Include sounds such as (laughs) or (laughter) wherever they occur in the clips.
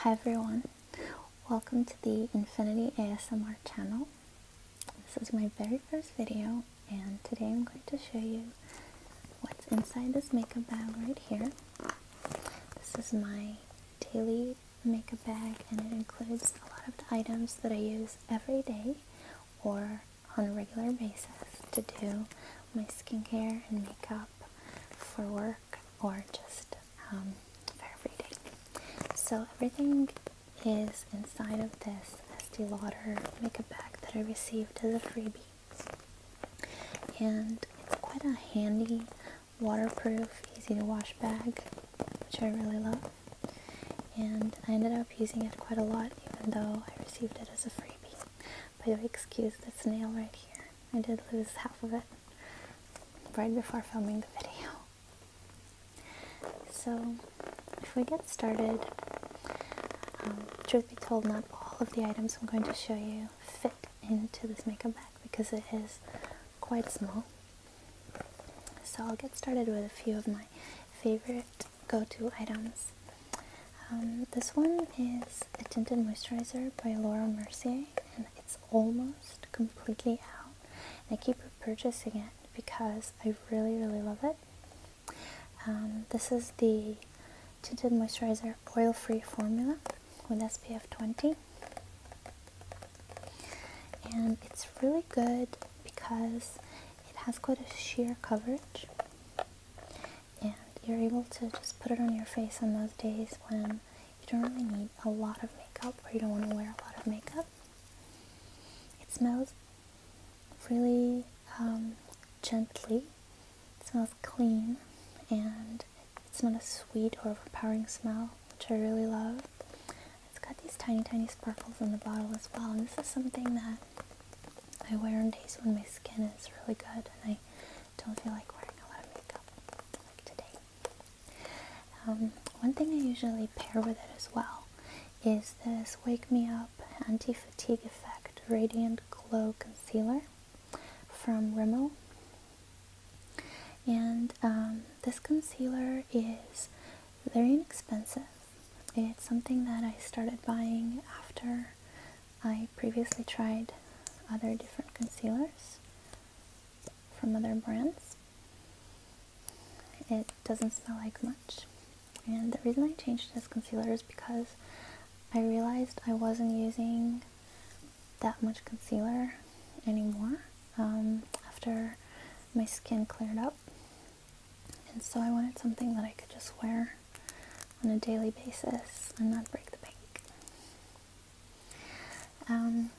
Hi everyone, welcome to the Infinity ASMR channel. This is my very first video and today I'm going to show you what's inside this makeup bag right here. This is my daily makeup bag and it includes a lot of the items that I use every day or on a regular basis to do my skincare and makeup for work or just um, for everyday. So everything is inside of this Estee Lauder makeup bag that I received as a freebie. And it's quite a handy, waterproof, easy to wash bag, which I really love. And I ended up using it quite a lot even though I received it as a freebie. By the way, excuse this nail right here. I did lose half of it right before filming the video. So, if we get started, um, truth be told, not all of the items I'm going to show you fit into this makeup bag because it is quite small. So, I'll get started with a few of my favorite go to items. Um, this one is a Tinted Moisturizer by Laura Mercier, and it's almost completely out. I keep repurchasing it because I really, really love it. Um, this is the Tinted Moisturizer Oil Free Formula with SPF 20. And it's really good because it has quite a sheer coverage and you're able to just put it on your face on those days when you don't really need a lot of makeup or you don't want to wear a lot of makeup. It smells really um, gently, it smells clean, and it's not a sweet or overpowering smell, which I really love. It's got these tiny, tiny sparkles in the bottle as well, and this is something that I wear on days when my skin is really good and I I don't feel like wearing a lot of makeup like today. Um, one thing I usually pair with it as well is this Wake Me Up Anti-Fatigue Effect Radiant Glow Concealer from Rimmel. And um, this concealer is very inexpensive. It's something that I started buying after I previously tried other different concealers from other brands. It doesn't smell like much. And the reason I changed this concealer is because I realized I wasn't using that much concealer anymore um, after my skin cleared up. And so I wanted something that I could just wear on a daily basis and not break the bank. Um,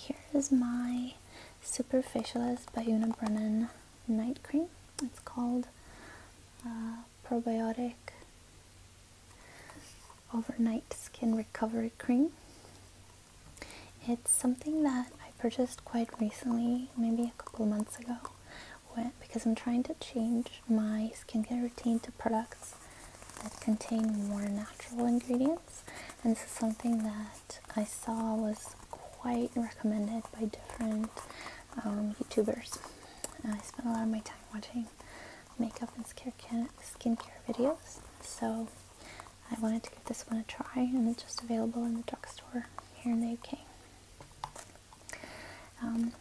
here is my Superfacialist by Una Brennan night cream. It's called uh, Probiotic Overnight Skin Recovery Cream. It's something that I purchased quite recently, maybe a couple of months ago, because I'm trying to change my skincare routine to products that contain more natural ingredients. And this is something that I saw was quite recommended by different um, YouTubers. I spent a lot of my time watching makeup and skincare, skincare videos. So I wanted to give this one a try and it's just available in the drugstore here in the UK. Um,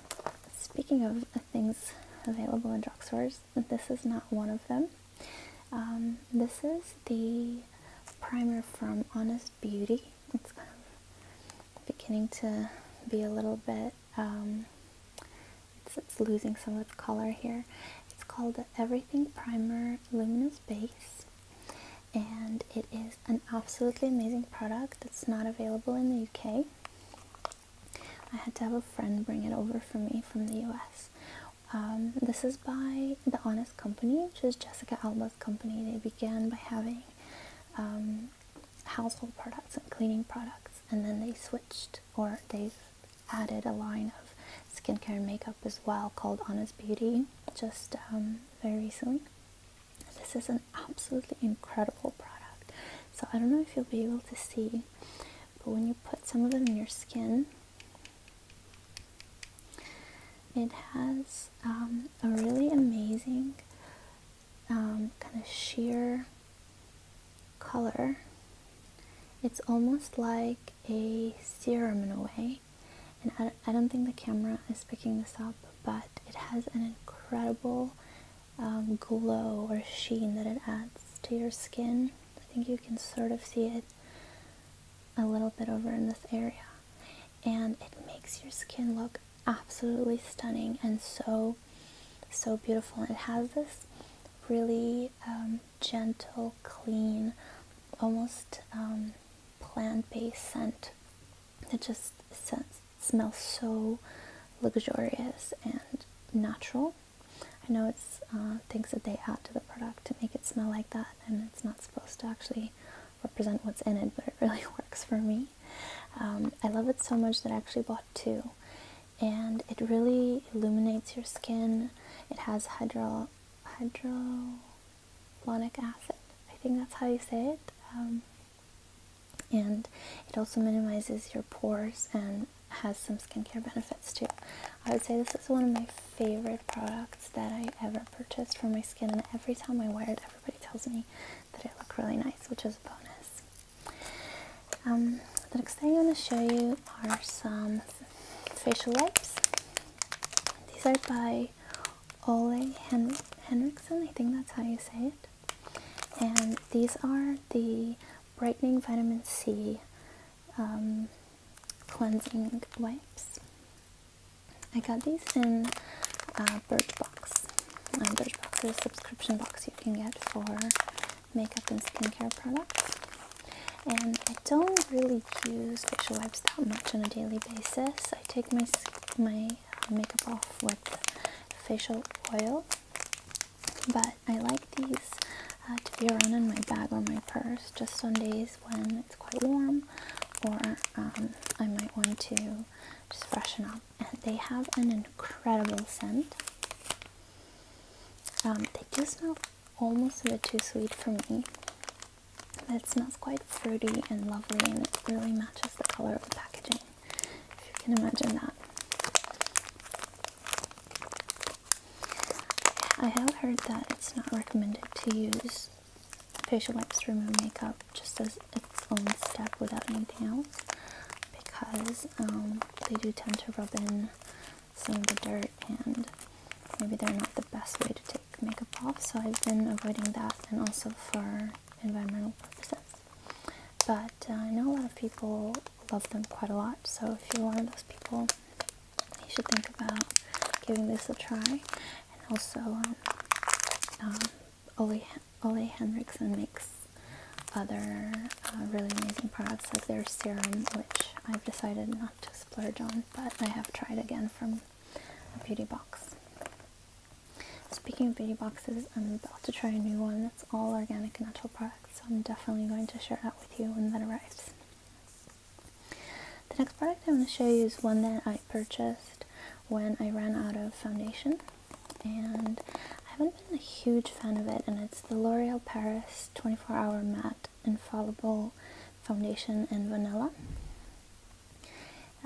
speaking of things available in drugstores, this is not one of them. Um, this is the primer from Honest Beauty. It's beginning to be a little bit, um, it's, losing some of its color here. It's called Everything Primer Luminous Base and it is an absolutely amazing product. It's not available in the UK. I had to have a friend bring it over for me from the US. Um, this is by The Honest Company, which is Jessica Alba's company. They began by having um, household products and cleaning products, and then they switched or they added a line of skincare and makeup as well called Honest Beauty just um, very recently. This is a absolutely incredible product. So I don't know if you'll be able to see, but when you put some of it in your skin, it has um, a really amazing um, kind of sheer color. It's almost like a serum in a way. And I don't think the camera is picking this up, but it has an incredible um, glow or sheen that it adds to your skin. I think you can sort of see it a little bit over in this area. And it makes your skin look absolutely stunning and so, so beautiful. it has this really um, gentle, clean, almost um, plant-based scent It just sends smells so luxurious and natural. I know it's things that they add to the product to make it smell like that, and it's not supposed to actually represent what's in it, but it really (laughs) works for me. Um, I love it so much that I actually bought two, and it really illuminates your skin. It has hydro hydrolonic acid. I think that's how you say it. Um, and it also minimizes your pores and has some skincare benefits too. I would say this is one of my favorite products that I ever purchased for my skin and every time I wear it everybody tells me that it look really nice which is a bonus. Um, the next thing I'm going to show you are some facial wipes. These are by Ole Hen Henriksen, I think that's how you say it. And these are the Brightening Vitamin C um, Cleansing Wipes. I got these in uh, Birchbox. Um, Birchbox is a subscription box you can get for makeup and skincare products. And I don't really use facial wipes that much on a daily basis. I take my, my uh, makeup off with facial oil but I like these uh, to be around in my bag or my purse just on days when it's quite warm or um, I might want to just freshen up. And they have an incredible scent. Um, they do smell almost a bit too sweet for me. But it smells quite fruity and lovely and it really matches the color of the packaging if you can imagine that. I have heard that it's not recommended to use facial wipes to remove makeup just as its own step without anything else because um, they do tend to rub in some of the dirt and maybe they're not the best way to take makeup off so I've been avoiding that and also for environmental purposes. But uh, I know a lot of people love them quite a lot, so if you're one of those people, you should think about giving this a try. And also, um, um, Ole, Ole Henriksen makes other uh, really amazing products like their serum, which I've decided not to splurge on, but I have tried again from a beauty box. Speaking of beauty boxes, I'm about to try a new one that's all organic and natural products, so I'm definitely going to share that with you when that arrives. The next product i want to show you is one that I purchased when I ran out of foundation, and I haven't been a huge fan of it, and it's the L'Oreal Paris 24 Hour Matte Infallible Foundation in Vanilla.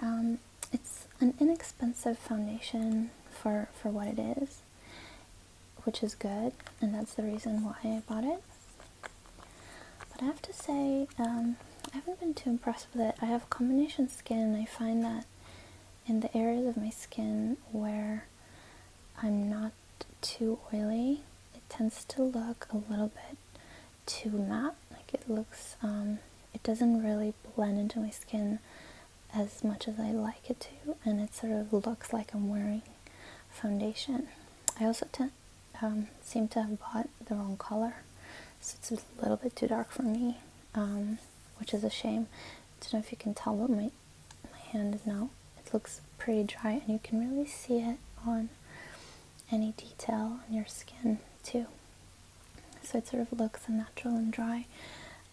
Um, it's an inexpensive foundation for, for what it is which is good, and that's the reason why I bought it. But I have to say, um, I haven't been too impressed with it. I have combination skin, and I find that in the areas of my skin where I'm not too oily, it tends to look a little bit too matte. Like it looks, um, it doesn't really blend into my skin as much as I like it to and it sort of looks like I'm wearing foundation. I also tend, um, seem to have bought the wrong color so it's a little bit too dark for me um, which is a shame. I don't know if you can tell but my, my hand is now, it looks pretty dry and you can really see it on any detail on your skin too. So it sort of looks unnatural and dry.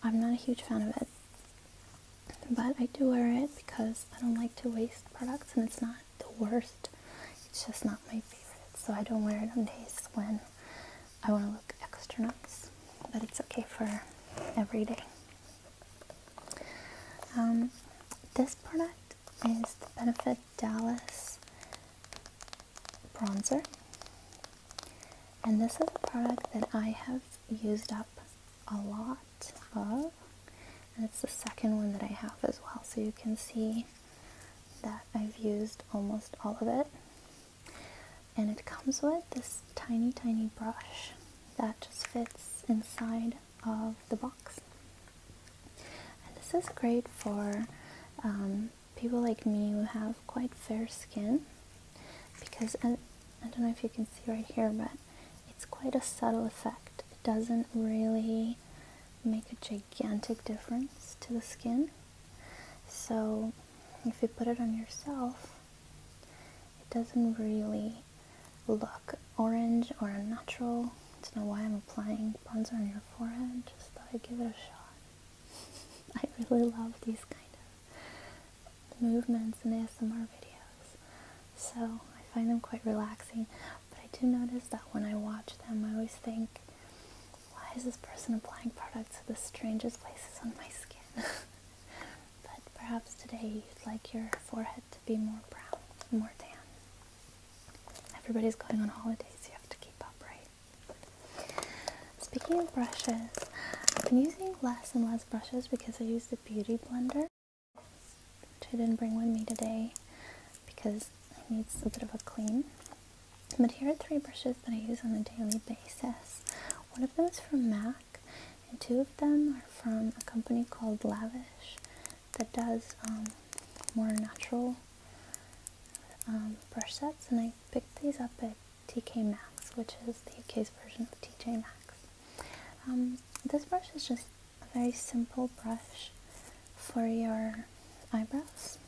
I'm not a huge fan of it. But I do wear it because I don't like to waste products and it's not the worst. It's just not my favorite. So I don't wear it on days when I want to look extra nuts. But it's okay for every day. Um, this product is the Benefit Dallas Bronzer. And this is a product that I have used up a lot of. And it's the second one that I have as well. So you can see that I've used almost all of it. And it comes with this tiny, tiny brush that just fits inside of the box. And this is great for um, people like me who have quite fair skin because I, don't know if you can see right here, but it's quite a subtle effect. It doesn't really make a gigantic difference to the skin. So if you put it on yourself, it doesn't really look orange or unnatural. I don't know why I'm applying bronzer on your forehead, just thought I'd give it a shot. (laughs) I really love these kind of movements in ASMR videos. So I find them quite relaxing. But I do notice that when I watch them, I always think, why is this person applying products to the strangest places on my skin? (laughs) but perhaps today you'd like your forehead to be more brown, more tan. Everybody's going on holidays, you have to keep up, right? Speaking of brushes, I've been using less and less brushes because I use the Beauty Blender, which I didn't bring with me today because it needs a bit of a clean. But here are three brushes that I use on a daily basis. One of them is from MAC, and two of them are from a company called Lavish that does um, more natural um, brush sets, and I picked these up at TK Maxx, which is the UK's version of TJ Maxx. Um, this brush is just a very simple brush for your eyebrows.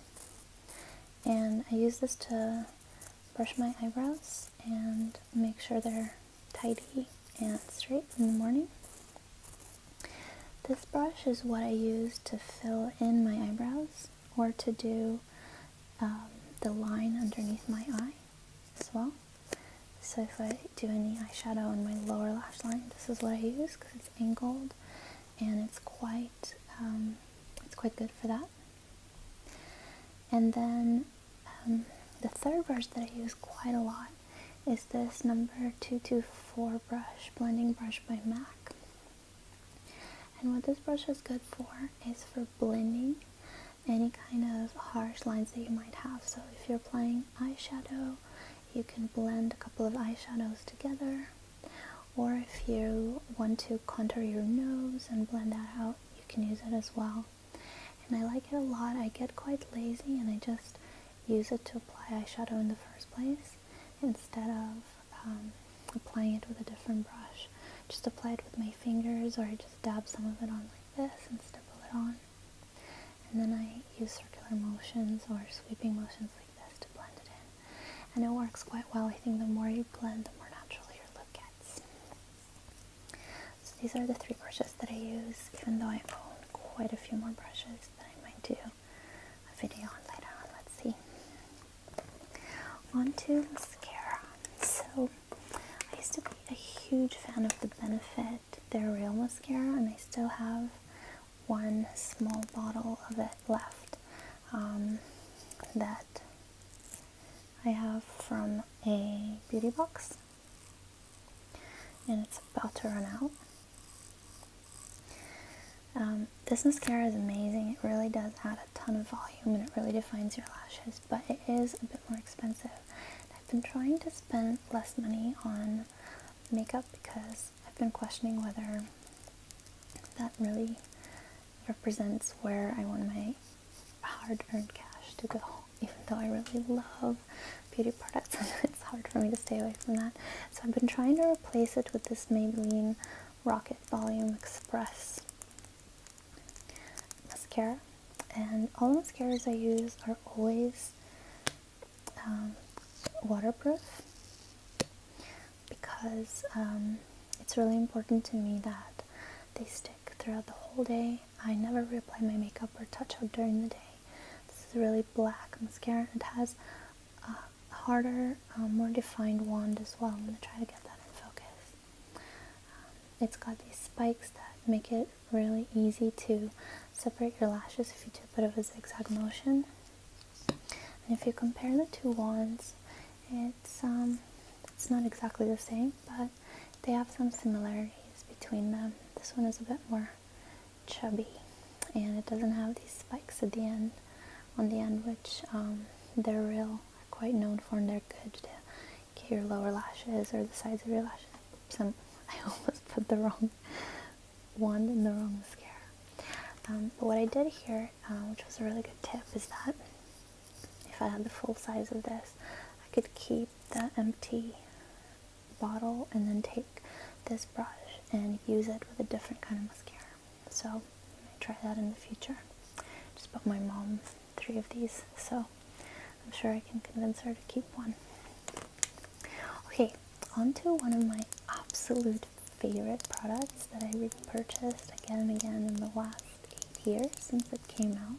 And I use this to brush my eyebrows and make sure they're tidy and straight in the morning. This brush is what I use to fill in my eyebrows or to do um, the line underneath my eye as well. So if I do any eyeshadow on my lower lash line, this is what I use because it's angled and it's quite um, it's quite good for that. And then um, the third brush that I use quite a lot is this number 224 brush, blending brush by MAC. And what this brush is good for is for blending any kind of harsh lines that you might have. So if you're applying eyeshadow, you can blend a couple of eyeshadows together. Or if you want to contour your nose and blend that out, you can use it as well. And I like it a lot. I get quite lazy and I just use it to apply eyeshadow in the first place instead of um, applying it with a different brush. Just apply it with my fingers or I just dab some of it on like this and stipple it on. And then I use circular motions or sweeping motions like this to blend it in. And it works quite well. I think the more you blend, the more natural your look gets. So these are the three brushes that I use, even though I own quite a few more brushes that I might do a video on later on. Let's see. Onto mascara. So I used to be a huge fan of the Benefit Their Real Mascara, and I still have one small bottle of it left um, that I have from a beauty box, and it's about to run out. Um, this mascara is amazing. It really does add a ton of volume and it really defines your lashes, but it is a bit more expensive. I've been trying to spend less money on makeup because I've been questioning whether that really represents where I want my hard earned cash to go, (laughs) even though I really love beauty products (laughs) and it's hard for me to stay away from that. So I've been trying to replace it with this Maybelline Rocket Volume Express mascara and all the mascaras I use are always um, waterproof because um, it's really important to me that they stick throughout the whole day. I never reapply my makeup or touch up during the day. This is really black mascara. It has a harder, um, more defined wand as well. I'm going to try to get that in focus. Um, it's got these spikes that make it really easy to separate your lashes if you do a bit of a zigzag motion. And if you compare the two wands, it's um, it's not exactly the same, but they have some similarities between them. This one is a bit more chubby, and it doesn't have these spikes at the end, on the end, which um, they're real quite known for in their good to get your lower lashes or the sides of your lashes. Some, (laughs) I almost put the wrong one in the wrong mascara. Um, but what I did here, uh, which was a really good tip, is that if I had the full size of this, I could keep the empty bottle and then take this brush and use it with a different kind of mascara. So try that in the future. Just bought my mom three of these, so I'm sure I can convince her to keep one. Okay, on to one of my absolute favorite products that I repurchased again and again in the last eight years since it came out.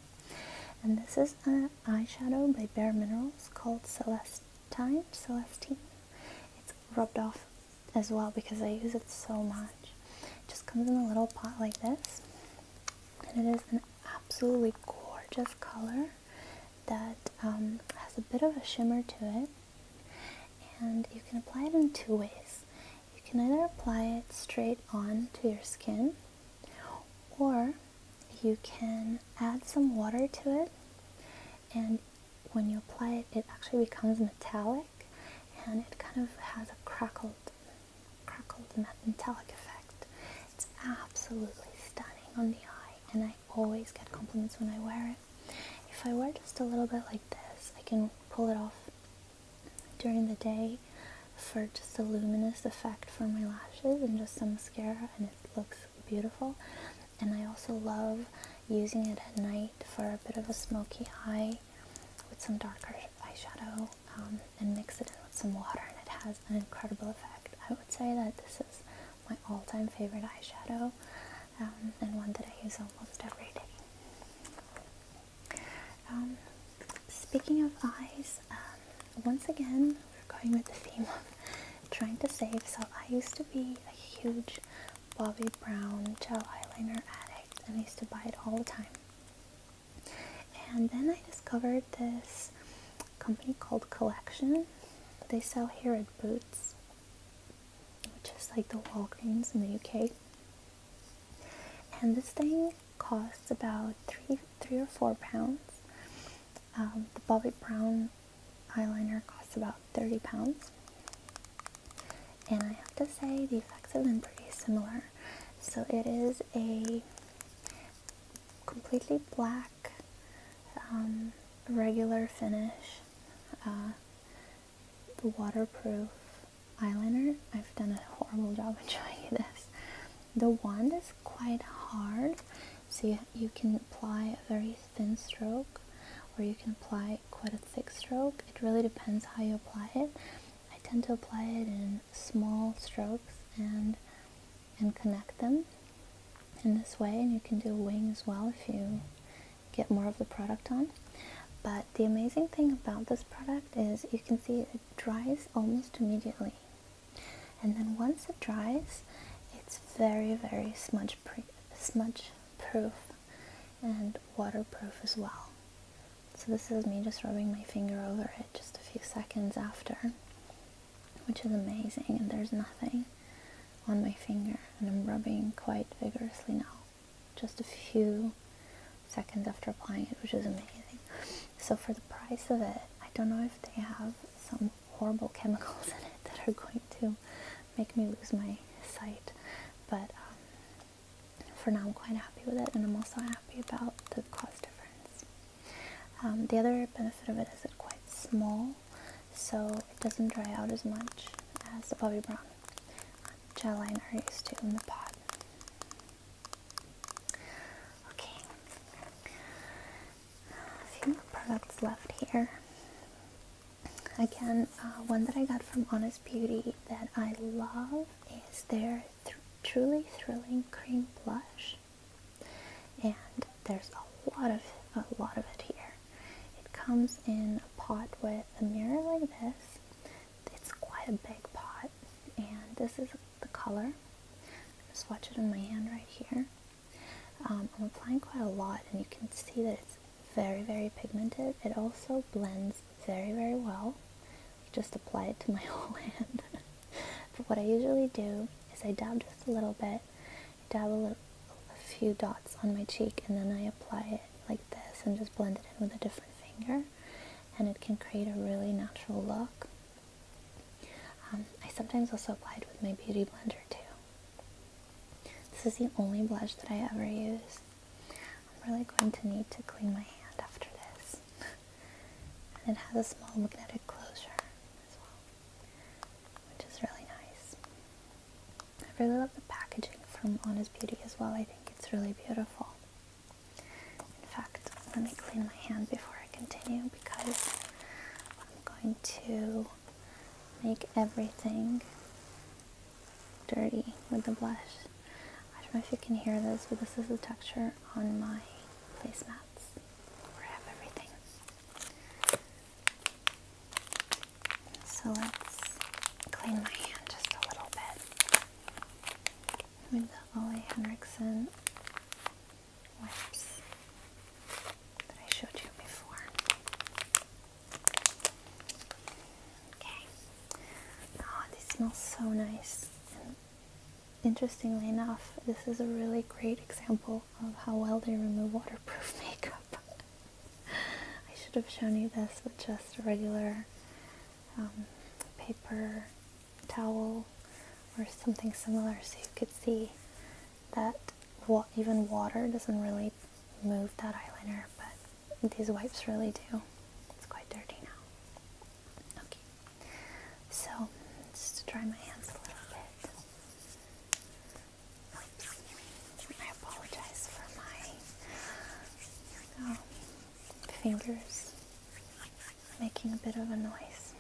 And this is an eyeshadow by Bare Minerals called Celestine, Celestine. It's rubbed off as well because I use it so much. It just comes in a little pot like this, and it is an absolutely gorgeous color that um, has a bit of a shimmer to it. And you can apply it in two ways. You can either apply it straight on to your skin, or you can add some water to it. And when you apply it, it actually becomes metallic and it kind of has a crackled crackled metallic effect. It's absolutely stunning on the eye and I always get compliments when I wear it. If I wear just a little bit like this, I can pull it off during the day for just a luminous effect for my lashes and just some mascara and it looks beautiful. And I also love using it at night for a bit of a smoky eye with some darker eyeshadow um, and mix it in with some water and it has an incredible effect. I would say that this is my all-time favorite eyeshadow um, and one that I use almost every day. Um, speaking of eyes, once again we're going with the theme of trying to save. So I used to be a huge Bobbi Brown gel eyeliner addict and I used to buy it all the time. And then I discovered this company called Collection. They sell here at Boots, which is like the Walgreens in the UK. And this thing costs about three, three or four pounds. Um, the Bobby Brown eyeliner costs about 30 pounds and I have to say the effects have been pretty similar. So it is a completely black, um, regular finish, the uh, waterproof eyeliner. I've done a horrible job in (laughs) showing you this. The wand is quite hard, so you can apply a very thin stroke or you can apply quite a thick stroke. It really depends how you apply it. I tend to apply it in small strokes and and connect them in this way and you can do a wing as well if you get more of the product on but the amazing thing about this product is you can see it dries almost immediately and then once it dries it's very very smudge proof and waterproof as well. So this is me just rubbing my finger over it just a few seconds after, which is amazing and there's nothing on my finger and I'm rubbing quite vigorously now, just a few seconds after applying it, which is amazing. So for the price of it, I don't know if they have some horrible chemicals (laughs) in it that are going to make me lose my sight, but um, for now I'm quite happy with it and I'm also happy about the cost difference. Um, the other benefit of it is it's quite small so it doesn't dry out as much as the Bobby Brown gel liner I used to in the pot. Okay, few more products left here. Again, uh, one that I got from Honest Beauty that I love is their truly thrilling cream blush and there's a lot of a lot of it here it comes in a pot with a mirror like this it's quite a big pot and this is the color I just watch it on my hand right here um, I'm applying quite a lot and you can see that it's very very pigmented it also blends very, very well. just apply it to my (laughs) whole hand. but what I usually do is I dab just a little bit, dab a, few dots on my cheek, and then I apply it like this and just blend it in with a different finger. And it can create a really natural look. Um, I sometimes also apply it with my beauty blender too. This is the only blush that I ever use I'm really going to need to clean my hand after this. (laughs) and it has a small magnetic closure as well, which is really nice. I really love the packaging from Honest Beauty as well. I think it's really beautiful. In fact, let me clean my hand before I continue because I'm going to make everything dirty with the blush. I don't know if you can hear this, but this is the texture on my placemats where I have everything. So let's clean my hand just a little bit with the Ole Henriksen wipes that I showed you before. Okay. Oh, this smells so nice. interestingly enough, this is a really great example of how well they remove waterproof (laughs) makeup. I should have shown you this with just a regular um, paper towel or something similar so you could see that even water doesn't really move that eyeliner but these wipes really do. It's quite dirty now. Okay. So, just to dry my hands a little bit. I apologize for my um, fingers making a bit of a noise.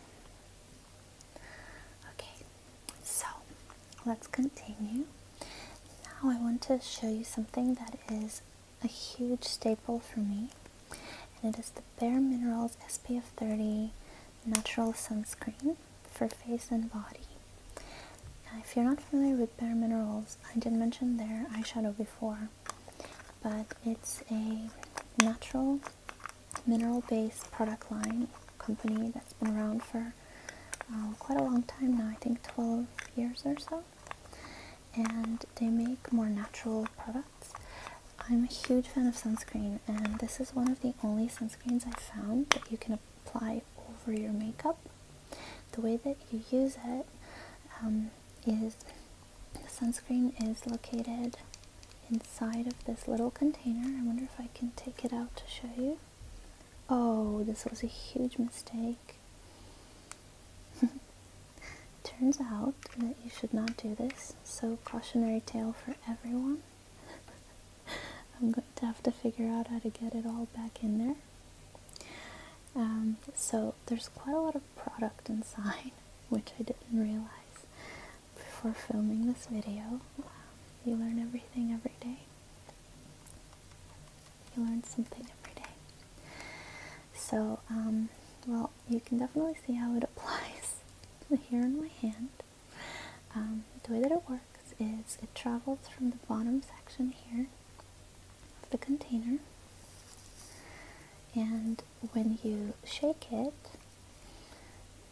Okay, so let's continue. Now I want to show you something that is a huge staple for me, and it is the Bare Minerals SPF 30 Natural Sunscreen for face and body. Now, if you're not familiar with Bare Minerals, I did mention their eyeshadow before, but it's a natural mineral based product line company that's been around for uh, quite a long time now, I think 12 years or so and they make more natural products. I'm a huge fan of sunscreen and this is one of the only sunscreens I found that you can apply over your makeup. The way that you use it um, is: the sunscreen is located inside of this little container. I wonder if I can take it out to show you. Oh, this was a huge mistake. (laughs) Turns out that you should not do this, so cautionary tale for everyone. (laughs) I'm going to have to figure out how to get it all back in there. Um, so there's quite a lot of product inside, (laughs) which I didn't realize before filming this video. Um, you learn everything every day. You learn something every day. So, um, well, you can definitely see how it (laughs) applies here in my hand. Um, the way that it works is it travels from the bottom section here of the container, and when you shake it,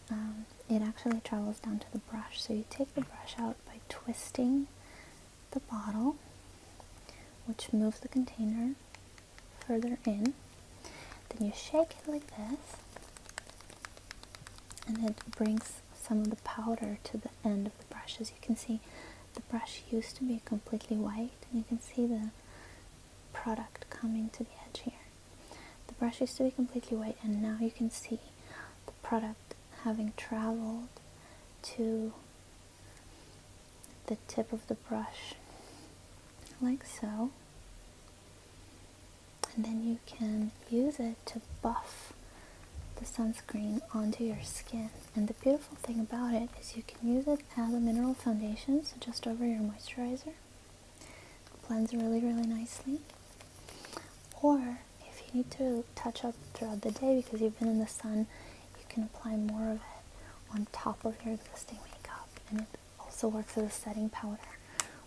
um, it actually travels down to the brush. So you take the brush out by twisting the bottle, which moves the container further in. Then you shake it like this, and it brings some of the powder to the end of the brush. As you can see, the brush used to be completely white, and you can see the product coming to the edge here. The brush used to be completely white, and now you can see the product having traveled to the tip of the brush like so and then you can use it to buff the sunscreen onto your skin and the beautiful thing about it is you can use it as a mineral foundation so just over your moisturizer blends really really nicely or if you need to touch up throughout the day because you've been in the sun you can apply more of it on top of your existing makeup and it also works as a setting powder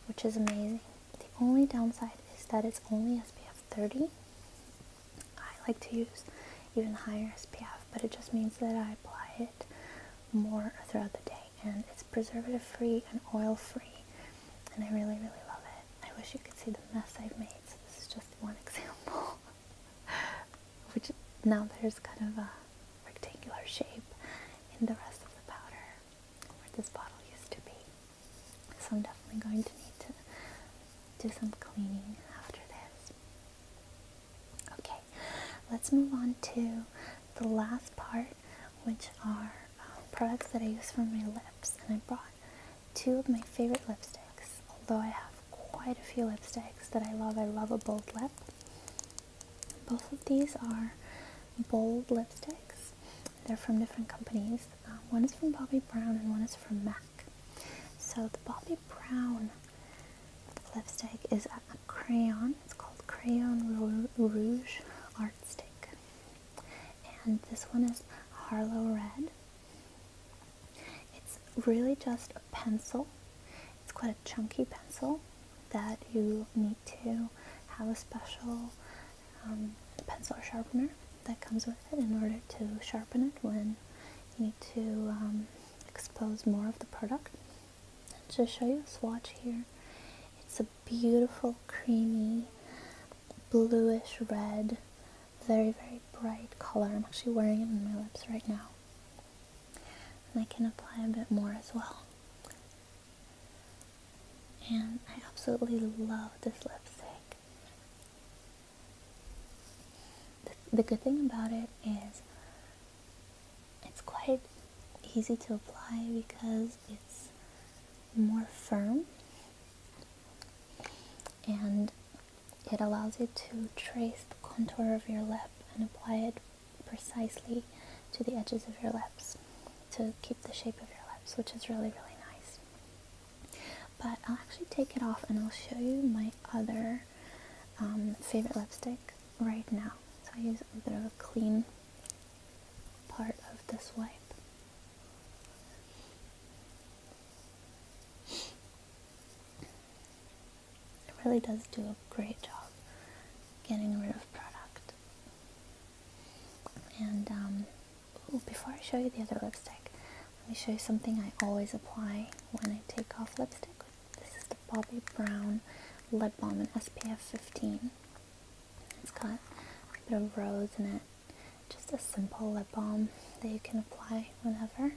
which is amazing the only downside is that it's only spf 30 i like to use even higher spf but it just means that i apply it more throughout the day and it's preservative free and oil free and i really really love it i wish you could see the mess i've made so this is just one (laughs) example which now there's kind of a rectangular shape in the rest of the powder where this bottle used to be. So I'm definitely going to need to do some cleaning after this. Okay, let's move on to the last part, which are um, products that I use for my lips. And I brought two of my favorite lipsticks, although I have quite a few lipsticks that I love. I love a bold lip. Both of these are bold lipsticks. They're from different companies. Um, one is from Bobbi Brown and one is from MAC. So the Bobbi Brown lipstick is a crayon. It's called Crayon Rouge Art Stick. And this one is Harlow Red. It's really just a pencil. It's quite a chunky pencil that you need to have a special um, pencil sharpener that comes with it in order to sharpen it when you need to um, expose more of the product. To show you a swatch here, it's a beautiful creamy bluish red very, very bright color. I'm actually wearing it on my lips right now. And I can apply a bit more as well. And I absolutely love this lipstick. The, good thing about it is it's quite easy to apply because it's more firm and it allows you to trace the contour of your lip and apply it precisely to the edges of your lips to keep the shape of your lips, which is really, really nice. But I'll actually take it off and I'll show you my other um, favorite lipstick right now. So I use a bit of a clean part of this wipe. It really does do a great job getting rid of product. And um, before I show you the other lipstick, let me show you something I always apply when I take off lipstick. This is the Bobbi Brown Lip Balm and SPF 15. It's got a bit of rose in it. Just a simple lip balm that you can apply whenever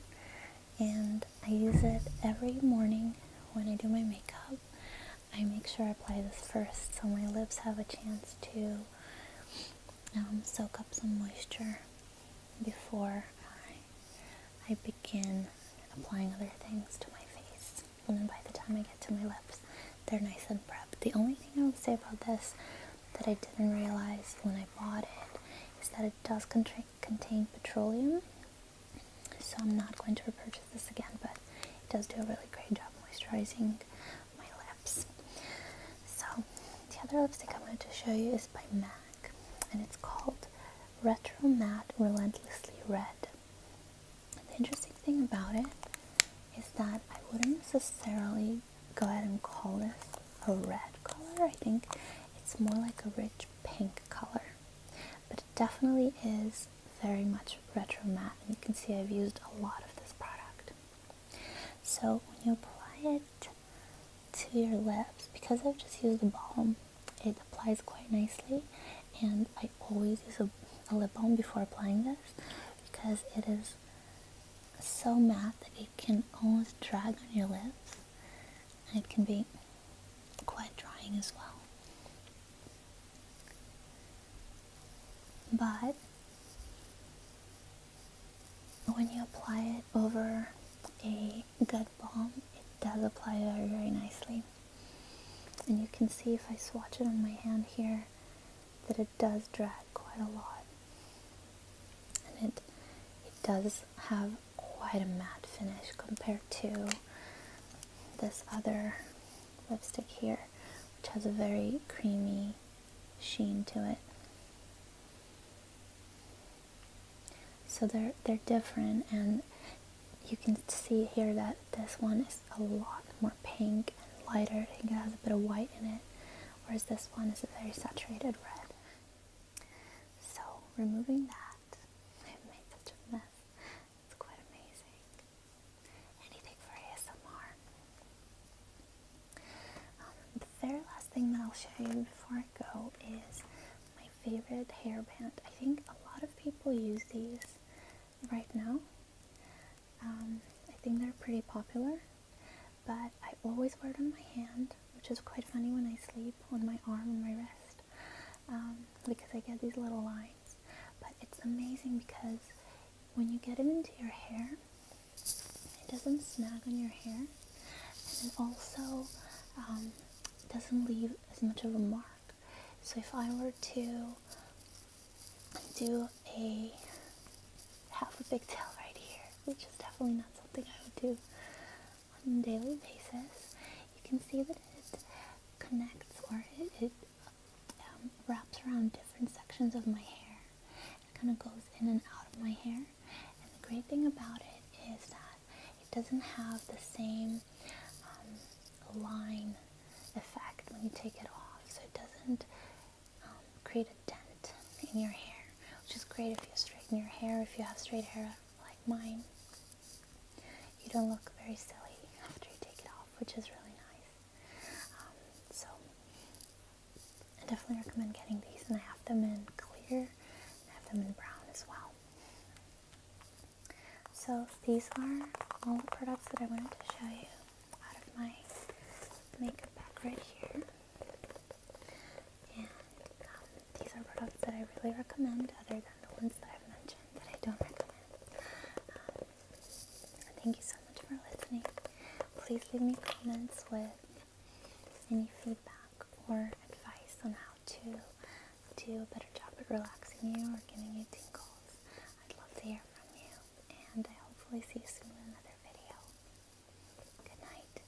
and I use it every morning when I do my makeup. I make sure I apply this first so my lips have a chance to um, soak up some moisture before I, I begin applying other things to my face. And then by the time I get to my lips, they're nice and prepped. The only thing I would say about this that I didn't realize when I bought it is that it does contain contain petroleum, so I'm not going to repurchase this again, but it does do a really great job moisturizing my lips. So the other lipstick I wanted to show you is by MAC, and it's called Retro Matte Relentlessly Red. The interesting thing about it is that I wouldn't necessarily go ahead and call this a red color. I think it's more like a rich pink color, but it definitely is very much retro matte. And you can see I've used a lot of this product. So when you apply it to your lips, because I've just used a balm, it applies quite nicely. And I always use a, a lip balm before applying this because it is so matte that it can almost drag on your lips and it can be quite drying as well. But when you apply it over a good balm, it does apply very, very nicely. And you can see if I swatch it on my hand here that it does drag quite a lot. And it, it does have quite a matte finish compared to this other lipstick here, which has a very creamy sheen to it. So they're they're different, and you can see here that this one is a lot more pink and lighter. I think it has a bit of white in it, whereas this one is a very saturated red. So, removing that, (laughs) I've made such a mess. It's quite amazing. Anything for ASMR. Um, the very last thing that I'll show you before I go is my favorite hairband. I think a lot of people use these right now. Um, I think they're pretty popular, but I always wear it on my hand which is quite funny when I sleep on my arm and my wrist um, because I get these little lines. But it's amazing because when you get it into your hair, it doesn't snag on your hair and it also um, doesn't leave as much of a mark. So if I were to do a half a big tail (laughs) right here, which is definitely not something I would do, on a daily basis, you can see that it connects or it, um, wraps around different sections of my hair. It kind of goes in and out of my hair. And the great thing about it is that it doesn't have the same um, line effect when you take it off. So it doesn't um, create a dent in your hair, which is great if you straighten your hair, if you have straight hair like mine. You don't look very silly after you take it off, which is really nice. Um, so I definitely recommend getting these, and I have them in clear, I have them in brown as well. So these are all the products that I wanted to show you out of my makeup bag right here. And um, these are products that I really recommend, other than the ones that I've mentioned that I don't recommend. Um, thank you so much for listening. Please leave me comments with any feedback or advice on how to do a better job at relaxing you or giving you tingles. I'd love to hear from you, and I hopefully see you soon in another video. Good night.